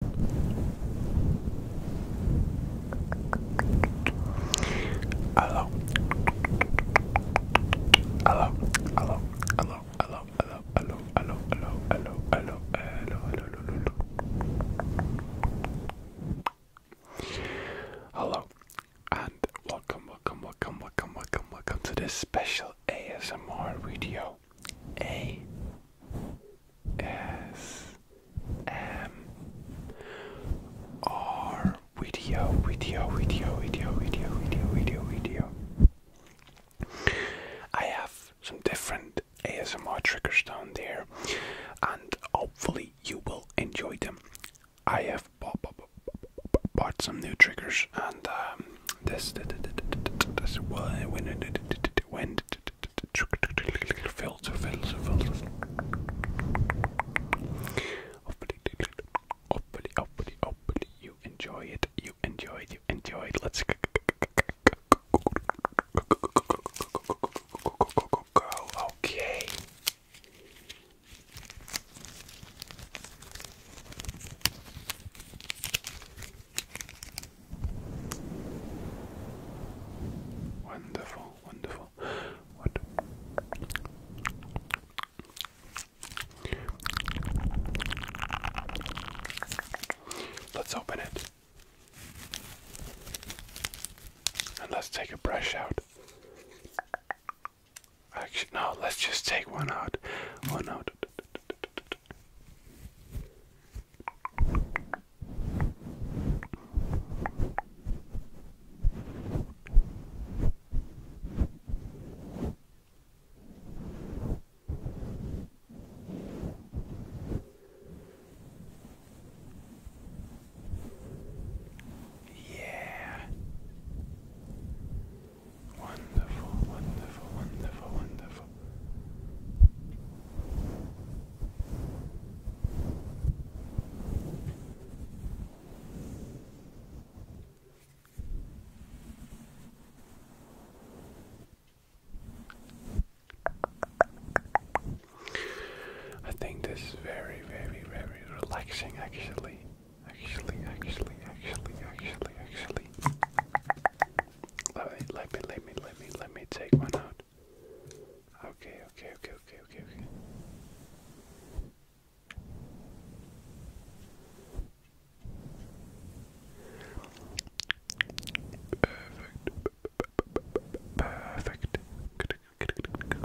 Hello. Hello. Hello. Hello. Hello. Hello. Hello. Hello. Hello. Hello. Hello. Hello. Hello. Hello. And welcome, welcome, welcome, welcome, welcome, welcome to this special ASMR video. A S M R video, video, video, video, video, video, video, video. I have some different ASMR triggers down there, and hopefully you will enjoy them. I have bought, bought, bought, bought some new triggers, and um, this, this, this, this, this, this, this, filter, filter, filter. Hopefully, hopefully, hopefully, hopefully, you enjoy it. You enjoy it. You enjoy it. Let's go. Okay. Wonderful, wonderful. What? Let's open it. And let's take a brush out. Actually, no, let's just take one out. One out. Yeah. Wonderful, wonderful, wonderful, wonderful. I think this is very, very, very relaxing actually. Actually, actually, actually, actually, actually. Let me, let me, let me, let me, let me take one out. Okay, okay, okay, okay, okay, okay. Perfect. Perfect. Good, good, good, good,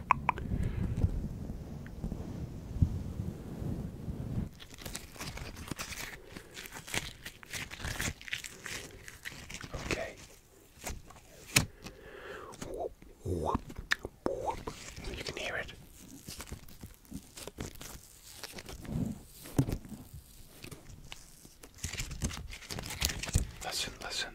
Okay. You can hear it. Listen, listen.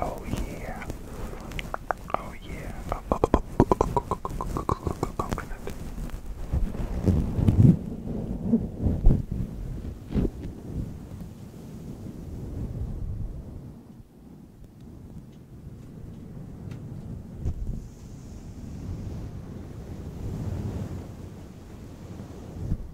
Oh yeah. Oh yeah. Coconut.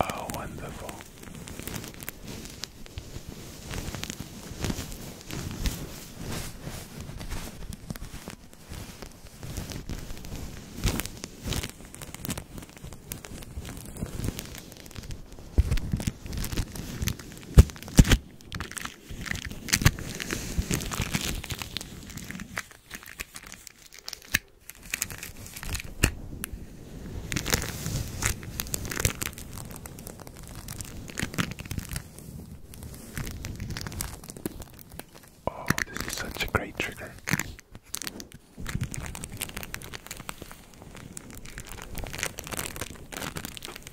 Oh, wonderful. Oh, this is such a great trigger.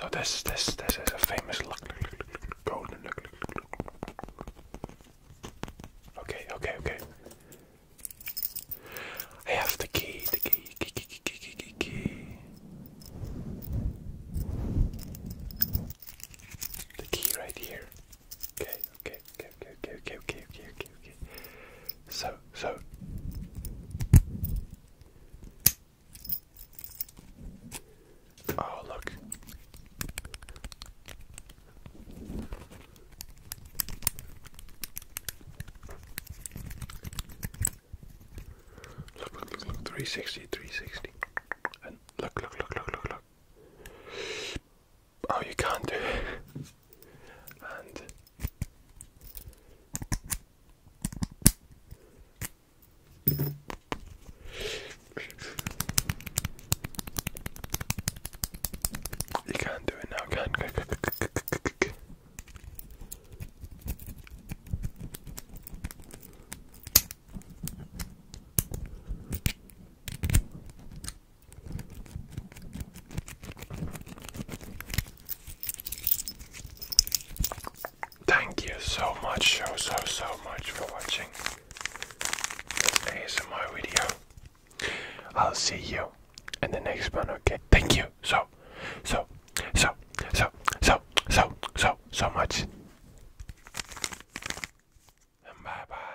So this this this is a famous lock. Okay, okay, okay. I have the key, the key, key, key, key, key, key. The key right here. Okay, okay, okay, okay, okay, okay, okay, okay, okay. So, so. Oh, look. Look, look, look, look, 360, 360. And look, look, look, look, look, look. Oh, you can't do it. you can't do it now, can Thank you so much, so so so much for watching this ASMR video. I'll see you in the next one, okay? Thank you so, so, so, so, so, so, so, so much. bye bye.